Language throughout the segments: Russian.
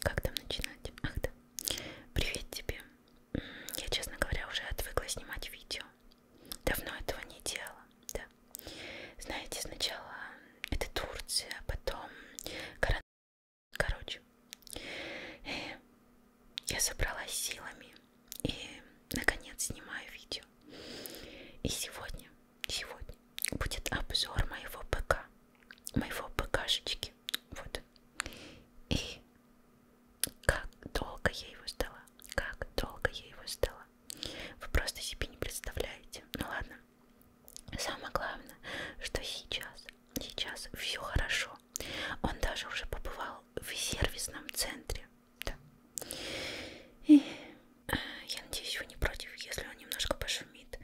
Как там начинать? Ах да. Привет тебе. Я, честно говоря, уже отвыкла снимать видео. Давно этого не делала, да. Знаете, сначала это Турция, а потом коронавирус. Короче, э, я собралась силами и, наконец, снимаю видео. И сегодня, сегодня будет обзор моего ПК, моего ПКшечки таблетки. Вот. И как долго я его сдала. Как долго я его сдала. Вы просто себе не представляете. Ну ладно. Самое главное, что сейчас, сейчас все хорошо. Он даже уже побывал в сервисном центре. Да. И э, я надеюсь, вы не против, если он немножко пошумит.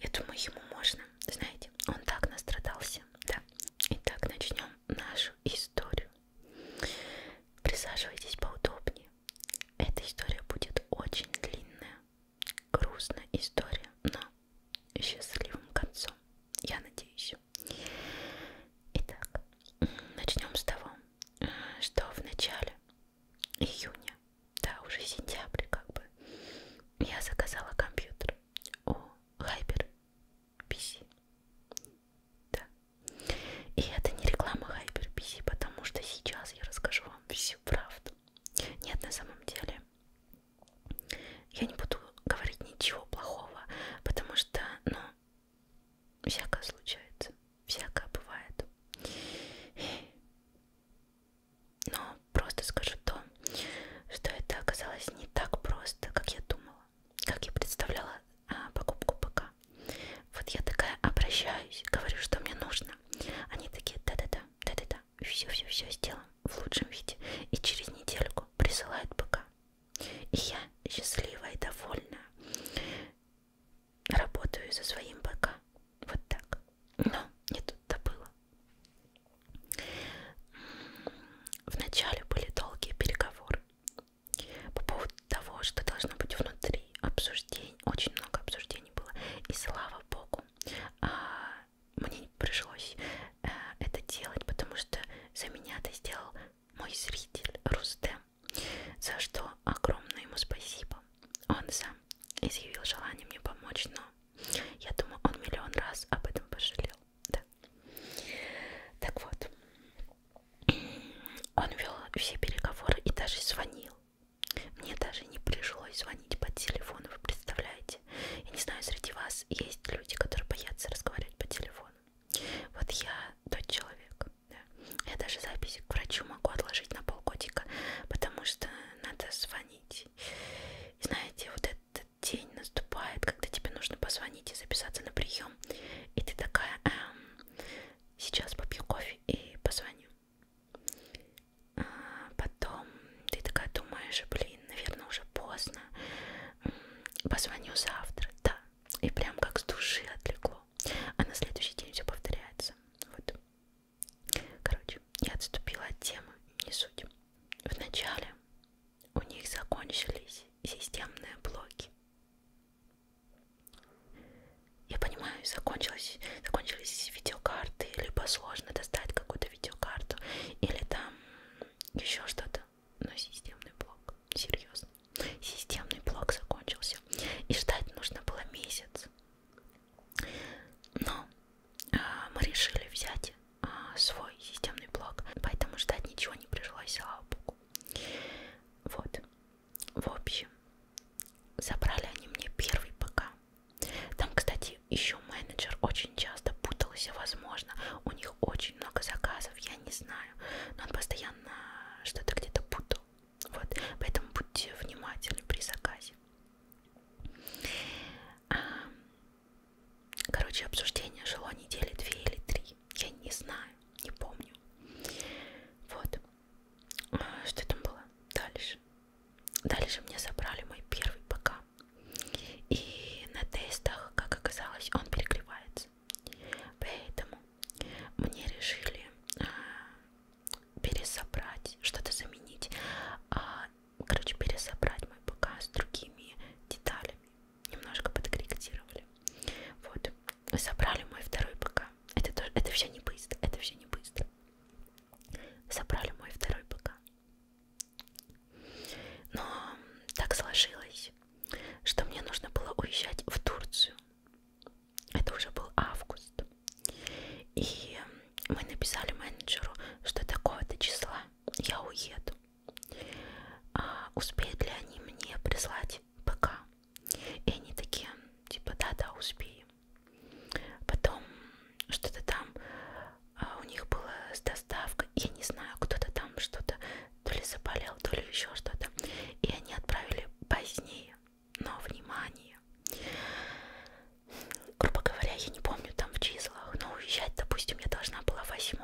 Я думаю, ему можно. Знаете, он так настрадался. Да. Итак, начнем нашу историю. Присаживайтесь поудобнее. Эта история будет очень длинная, грустная история, но счастливым концом, я надеюсь. Итак, начнем с того, что в начале июня, да, уже сентябрь как бы, я заказала компьютер у Hyper PC. Да. И это не реклама HyperPC, потому что сейчас я расскажу вам всю правду. Нет, на самом деле я не буду говорить ничего плохого, потому что, ну, всякое случается, всякое бывает. Но просто скажу то, что это оказалось не так просто, как я думала, как я представляла а, покупку ПК. Вот я такая обращаюсь, говорю, что мне нужно. Они такие, да-да-да, да-да-да, все-все-все сделаем в лучшем виде. И через недельку присылают ПК. И я счастливая и довольная работаю со своим ПК. Вот так. Но не тут-то было. Вначале были долгие переговоры по поводу того, что должно быть внутри обсуждений, очень много обсуждений было, и слава богу, а, мне не пришлось э, это делать, потому что за меня это сделал мой зритель Рустем, за что огромное ему спасибо. Он сам изъявил желание мне помочь, но я думаю, он миллион раз об этом пожалел да. Так вот, он вел все переговоры и даже звонил. Мне даже не пришлось звонить по телефону, вы представляете? Я не знаю, среди вас есть люди, которые боятся разговаривать по телефону. Вот я тот человек. Да. Я даже записи к врачу могу отложить на полгодика, потому что надо звонить. И знаете, вот это этот день наступает, когда тебе нужно позвонить и записаться на прием, и ты такая, эм, сейчас попью кофе и позвоню. А потом ты такая думаешь, блин, наверное, уже поздно, позвоню завтра, да, и прям как с души отлегло, а на следующий день все повторяется, вот. Короче, я отступила от темы, не суть. Вначале у них закончились системные блоки. Я понимаю, закончилось, закончились видеокарты, либо сложно достать какую-то видеокарту, или там еще что-то. Но системный блок, серьезно, системный блок закончился. И ждать нужно было месяц. Но а, мы решили взять а, свой системный блок, поэтому ждать ничего не пришлось, слава богу. Вот. В общем, забрали они мне первый ПК. Там, кстати, еще менеджер очень часто путался, возможно, у них очень много заказов, я не знаю, но он постоянно что-то где-то путал. Вот, поэтому будьте внимательны при заказе. Короче, обсуждение жило недели две или три. Я не знаю, не помню. Вот. А, что там было дальше? Дальше мне забрали мой первый ПК. И на тестах, как оказалось, он перегревается. Поэтому мне решили а, пересобрать, что-то заменить. А, короче, пересобрать мой ПК с другими деталями. Немножко подкорректировали. Вот. Собрали мой второй ПК. Это, тоже, это все не быстро. Это все не быстро. Собрали мой второй ПК. Но так сложилось, что мне нужно было уезжать в Турцию. Это уже был август. И мы написали менеджеру, что такого-то числа я уеду а, успеют ли они мне прислать ПК. И они такие, типа, да-да, успеем. Потом что-то там а, у них было с доставкой, я не знаю, кто-то там что-то то ли заболел, то ли еще что-то. И они отправили позднее, но внимание. Грубо говоря, я не помню там в числах, но уезжать, допустим, я должна была 8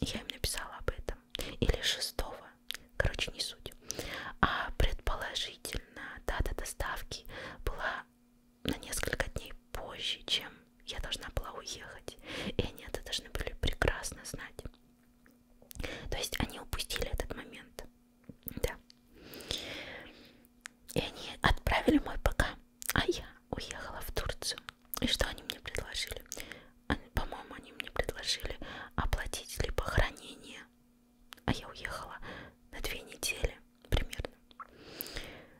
я им написала об этом, или шестого, короче, не суть. А предположительно, дата доставки была на несколько дней позже, чем я должна была уехать. И они это должны были прекрасно знать. То есть они упустили этот момент. Да. И они отправили мой ПК а я уехала в Турцию. И что они мне предложили? По-моему, они мне предложили оплатить либо хранение. А я уехала на две недели примерно.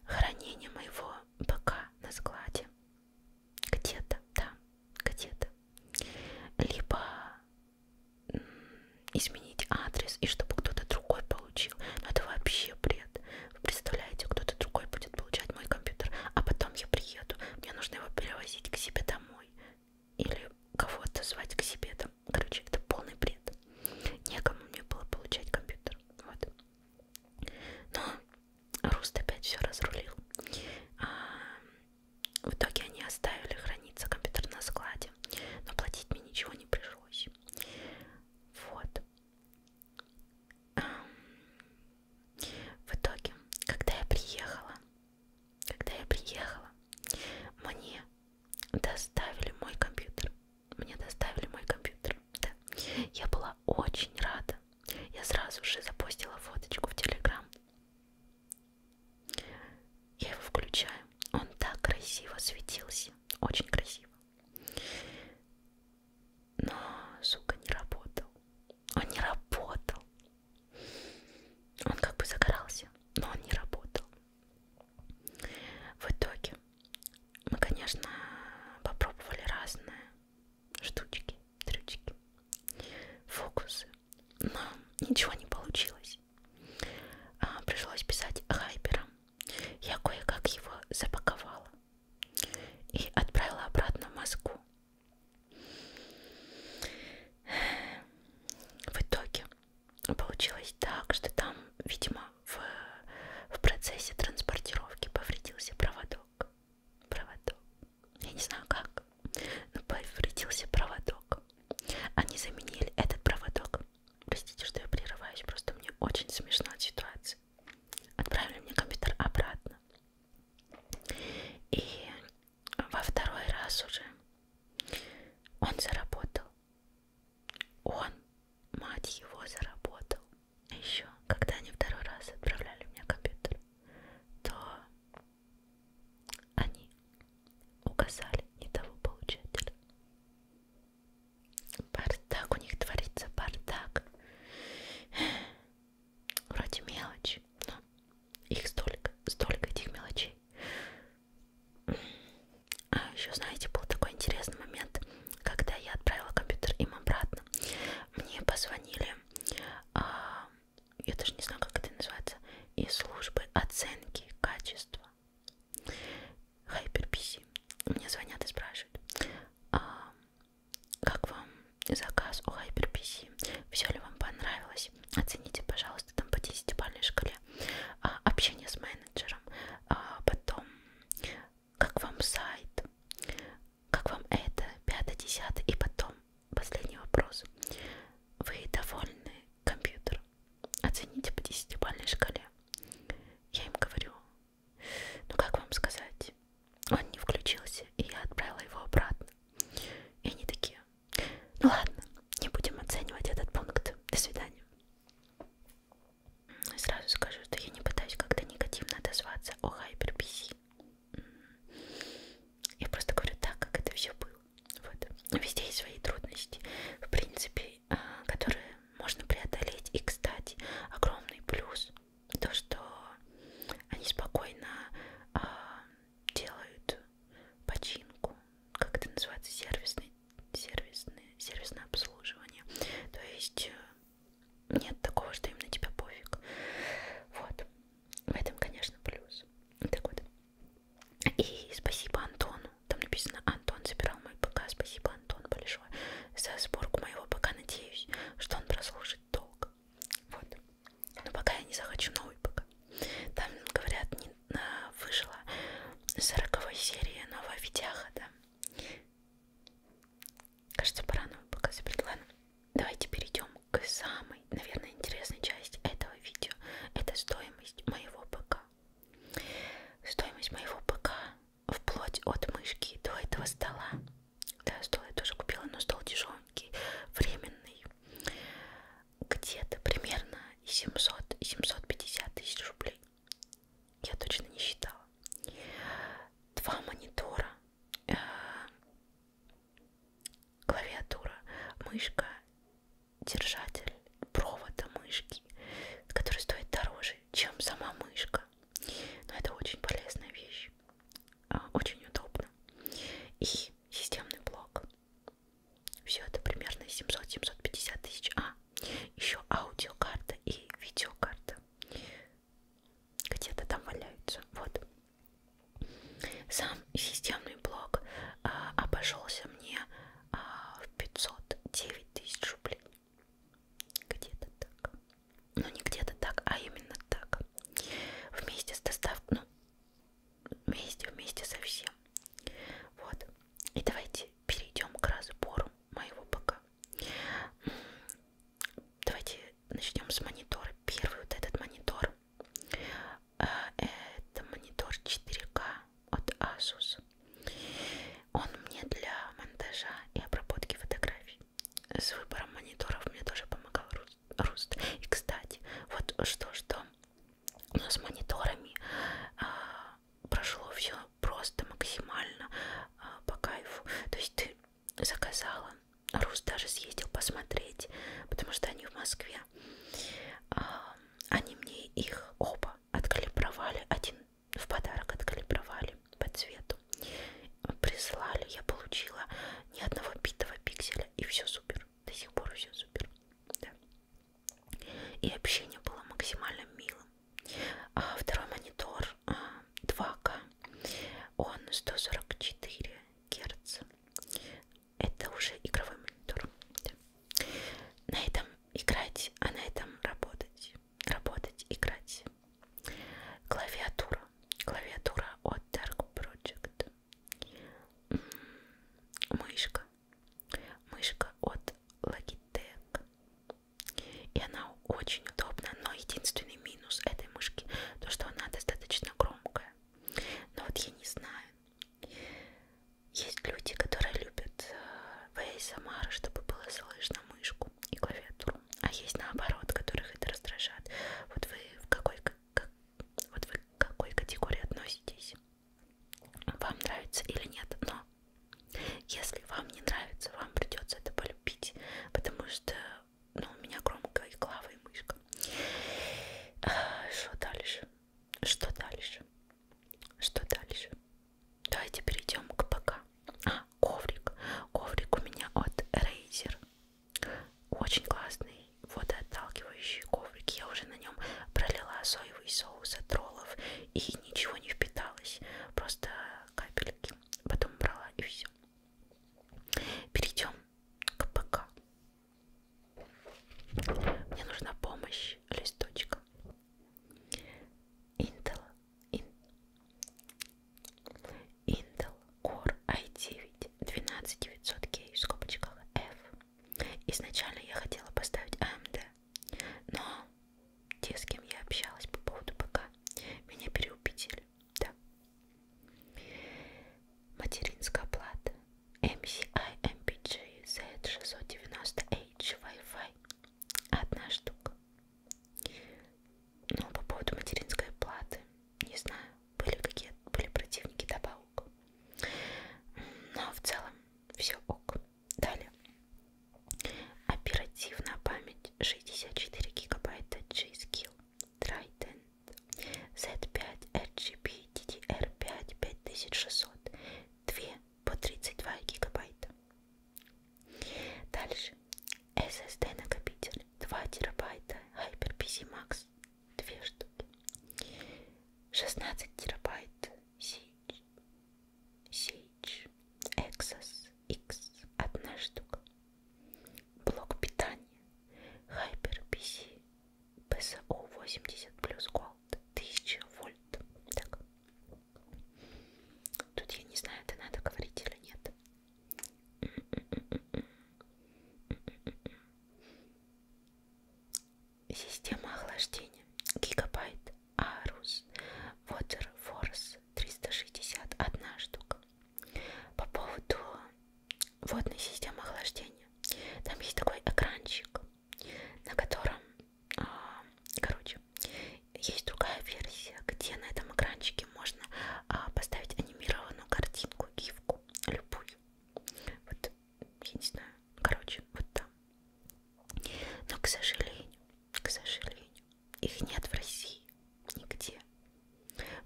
Хранение моего ПК на складе. Где-то, да, где-то. Либо изменить адрес, и чтобы кто-то другой получил. Но это вообще бред представляете, кто-то другой будет получать мой компьютер, а потом я приеду, мне нужно его перевозить к себе домой или кого-то звать к себе там, короче, это полный бред. Некому мне было получать компьютер, вот. Но Руст опять все разрулил. А, в итоге они оставили храниться компьютер на складе, но платить мне ничего не пришлось. Вот. В итоге, когда я приехала, когда я приехала, мне доставили мой компьютер. Мне доставили мой компьютер. Да. Я была очень рада. Я сразу же запостила фоточку в Телеграм. Я его включаю. Он так красиво светился. Очень красиво. Но, сука, не работал. Он не работал. Он как бы загорался, но он не работал. В итоге мы, конечно, попробовали разные штучки, трючки, фокусы, но ничего не получилось. А, пришлось писать хайпером. Я кое-как его запаковала и отправила обратно в Москву. В итоге получилось так, что там, видимо, в, в процессе транспортировки повредился проводок. Проводок. Я не знаю как, но повредился проводок. Они заменили этот проводок. Простите, что я прерываюсь, просто мне очень смешно от ситуации. Отправили мне компьютер обратно. И во второй раз уже он заработал. Он, мать его, заработал. А Еще, когда они второй раз отправляли мне компьютер, то они указали не того получателя. Бардак у них творится, бардак вроде мелочь, но их столько, столько этих мелочей. А еще, знаете, был такой интересный момент, когда я отправила компьютер им обратно. Мне позвонили, а, я даже не знаю, как это называется, из службы оценки качества. HyperPC. Мне звонят и спрашивают, а, как вам заказ у HyperPC? Все ли вам понравилось? Оцените, пожалуйста, там по 10-бальной шкале а, общение с менеджером, а, потом как вам сайт, как вам это, 5-10 и потом последний вопрос. Вы довольны компьютером? Оцените по 10-бальной шкале. Я им говорю, ну как вам сказать? Он не включился, и я отправила его обратно. И они такие. Ну ладно, не будем оценивать этот пункт. До свидания. Ну, сразу скажу, что я не пытаюсь как-то негативно отозваться о HyperPC. Я просто говорю так, как это все было. Вот. Везде есть свои трудности, в принципе, а, которые можно преодолеть. И, кстати, огромный плюс то, что они спокойно э, делают починку, как это называется, сервисный, сервисный, сервисное обслуживание. То есть э, нет такого, что им на тебя пофиг. Вот. В этом, конечно, плюс. Так вот. И спасибо Антону. Там написано Антон собирал мой ПК. Спасибо, Антон, большое за сборку моего ПК. Надеюсь, что он прослушает слушать долго. Вот. Но пока я не захочу новый пока. Там, говорят, не, на, вышла 40 серия нового видяха, да. Кажется, пора новый пока забрать. Ладно. Давайте перейдем к самой, наверное, интересной части этого видео. Это стоимость моего ПК. Стоимость моего ПК вплоть от мышки до этого стола. Да, стол я тоже купила, но стол тяжеленький, временный. Где-то примерно 700 и 750 тысяч рублей. Я точно не считала. Два монитора, э -э клавиатура, мышка, держатель провода мышки, который стоит дороже, чем сама мышка. Но это очень полезная вещь. А, очень удобно. И системный блок. Все это примерно 700-750 тысяч. А, еще аудиокарта и видеокарта. Где-то там валяются. Вот. Сам системный блок а, обошелся мне а, в 509 тысяч рублей. Где-то так ну не где-то так, а именно так, вместе с доставкой, ну, вместе, вместе со всем. Вот, и давайте перейдем к разбору моего пока. Давайте начнем с монитора. Первый вот этот монитор, э, это монитор 4К от Asus. Он мне для монтажа и обработки фотографий с выбором мониторов мне тоже помогал Руст. И, кстати, вот что-что, но с мониторами а, прошло все просто максимально а, по кайфу. То есть ты заказала, Руст даже съездил посмотреть, потому что они в Москве. А, они мне их оба откалибровали, один в подарок откалибровали по цвету прислали, я получила ни одного битого пикселя и все супер, до сих пор все супер, да. И общение было максимально милым. А второй монитор 2К, а, он 144 Гц. Это уже игровой монитор. Да. На этом играть, а на этом работать. Работать, играть. Клавиатура. Клавиатура от Dark Project. Мышка. Мышка от Logitech. И она очень удобна, но единственный минус этой мышки то, что она достаточно громкая. Но вот я не знаю. Есть люди, которые любят э, в ASMR, чтобы было слышно мышку и клавиатуру. А есть наоборот, которых это раздражает. Вот вы в какой, как, вот вы к какой категории относитесь? Вам нравится или нет? Но если вам не нравится, вам придется это полюбить, потому что ну, у меня громкая клава и мышка. А, что дальше? Что дальше? Что дальше? Давайте перейдем к ПК. А, коврик. Коврик у меня от Razer. Очень классный водоотталкивающий коврик. Я уже на нем пролила соевый соус от роллов и ничего не впиталось. Просто капельки. Потом брала и все. Перейдем к ПК. Мне нужна помощь листочка. Intel Intel Core i9 12900K в скобочках F. Изначально я хотела поставить AMD, но те, с кем я общалась по поводу ПК, меня переубедили. Да. Материнская плата MCI MPG Z690H Wi-Fi одна штука ну, по поводу материнской платы, не знаю, были какие были противники добавок. Но ну, а в целом все ок. Далее. Оперативная память 64 гигабайта G-Skill Triton Z5 RGB DDR5 5600 2 по 32 гигабайта Дальше. SSD накопитель 2 терабайта Hyper-PC Max 2 штуки. 16 терабайт Sage, Sage Exos X 1 штука. Блок питания Hyper-PC PSO 80 плюс Gold 1000 вольт. Так. Тут я не знаю, это надо говорить или нет. Система охлаждения. Гигабайт Арус Water Force 361 штука. По поводу водной системы охлаждения. Там есть такой экранчик, на котором, а, короче, есть другая версия, где на этом экранчике можно а, поставить анимированную картинку, гифку, любую. Вот, я не знаю, короче, вот там. Но, к сожалению, к сожалению, их нет в России нигде.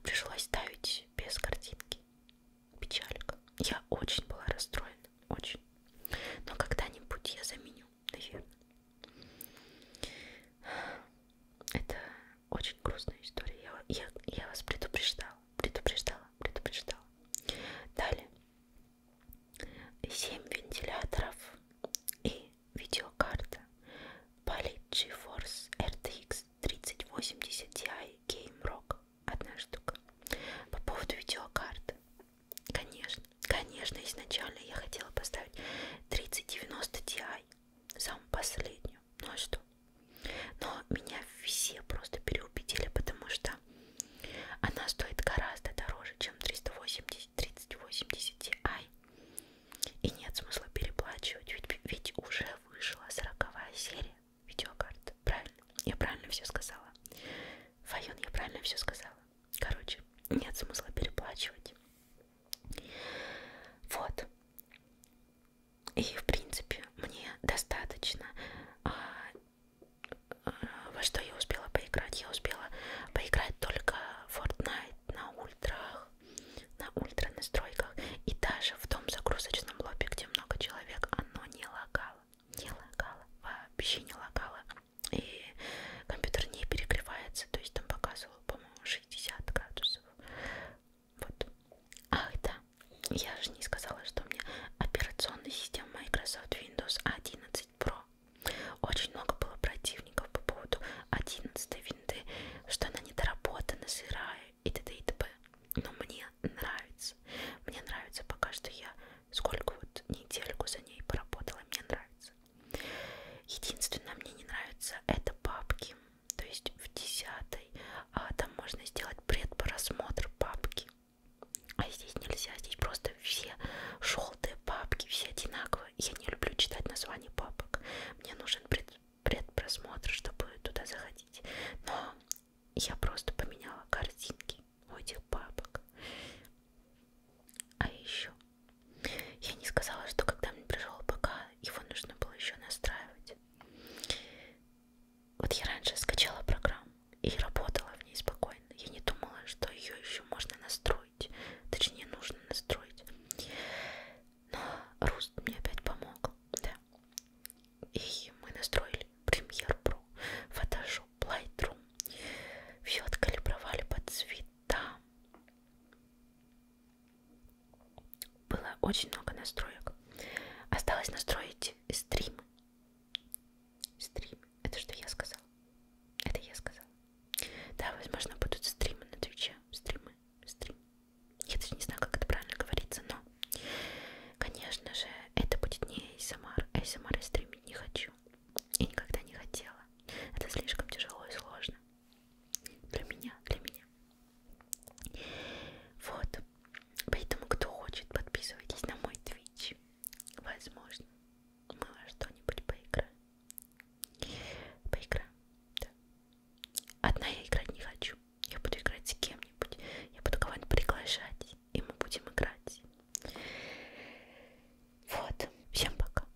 Пришлось ставить без картинки. Печалька. Я очень была расстроена, очень. Но когда-нибудь я заменю, наверное. Это очень грустная история. Я, я, я вас предупреждала, предупреждала, предупреждала. Далее. Семь вентиляторов и видеокарта Poly Force RTX 3080 Ti Game Rock. Одна штука. По поводу видеокарты. Конечно, конечно, изначально я хотела поставить 3090 Ti самую последнюю. Ну а что? Но меня все просто переубедили, потому что она стоит гораздо дороже, чем 380, 3080 Ti. И нет смысла переплачивать, ведь, ведь уже вышла 40 серия видеокарт. Правильно? Я правильно все сказала. Файон, я правильно все сказала. Короче, нет смысла переплачивать. Вот. И, в принципе, мне достаточно. А, а, во что я успела поиграть? Я успела поиграть только Fortnite на ультрах, на ультра настройках. И даже в том загрузочном лобби, где много человек, оно не лагало. Не лагало. Вообще не лагало. И компьютер не перегревается. То есть там показывал, по-моему, 60 градусов вот. Ах да, я же не сказала, что у меня операционная система Microsoft Windows 11 Pro. Очень много было противников по поводу 11 винды, что она недоработана, сырая и т.д. и т.п. Но мне нравится. Мне нравится пока что я сколько вот недельку за ней поработала, мне нравится. Единственное, мне не нравится это папки то есть в десятой, а там можно сделать предпросмотр папки. А здесь нельзя, здесь просто все желтые папки, все одинаковые. Я не люблю читать названия папок. Мне нужен пред, предпросмотр, чтобы туда заходить. Но я просто поменяла картинки у этих папок. А еще я не сказала, что когда мне пришел ПК, его нужно было еще настраивать. Вот я раньше скачала программу и работала в ней спокойно. Я не думала, что ее еще можно настроить. Точнее, нужно настроить. Но Руст мне опять помог. Да. И мы настроили Premiere Pro, Photoshop, Lightroom. Все откалибровали по цветам. Было очень много настроек. Осталось настроить стрим. Стрим. Это что я сказал? Это я сказал. Да, возможно, будут стримы на Твиче. Стримы. Стрим. Я даже не знаю, как это правильно говорится, но, конечно же, это будет не ASMR. ASMR я стримить не хочу. И никогда не хотела. Это слишком тяжело и сложно. Для меня, для меня. Вот. Поэтому, кто хочет, подписывайтесь на мой твич. Возможно, мы во что-нибудь поиграем. Поиграем, да. Одна я играть не хочу. Я буду играть с кем-нибудь. Я буду кого-нибудь приглашать. И мы будем играть. Вот. Всем пока.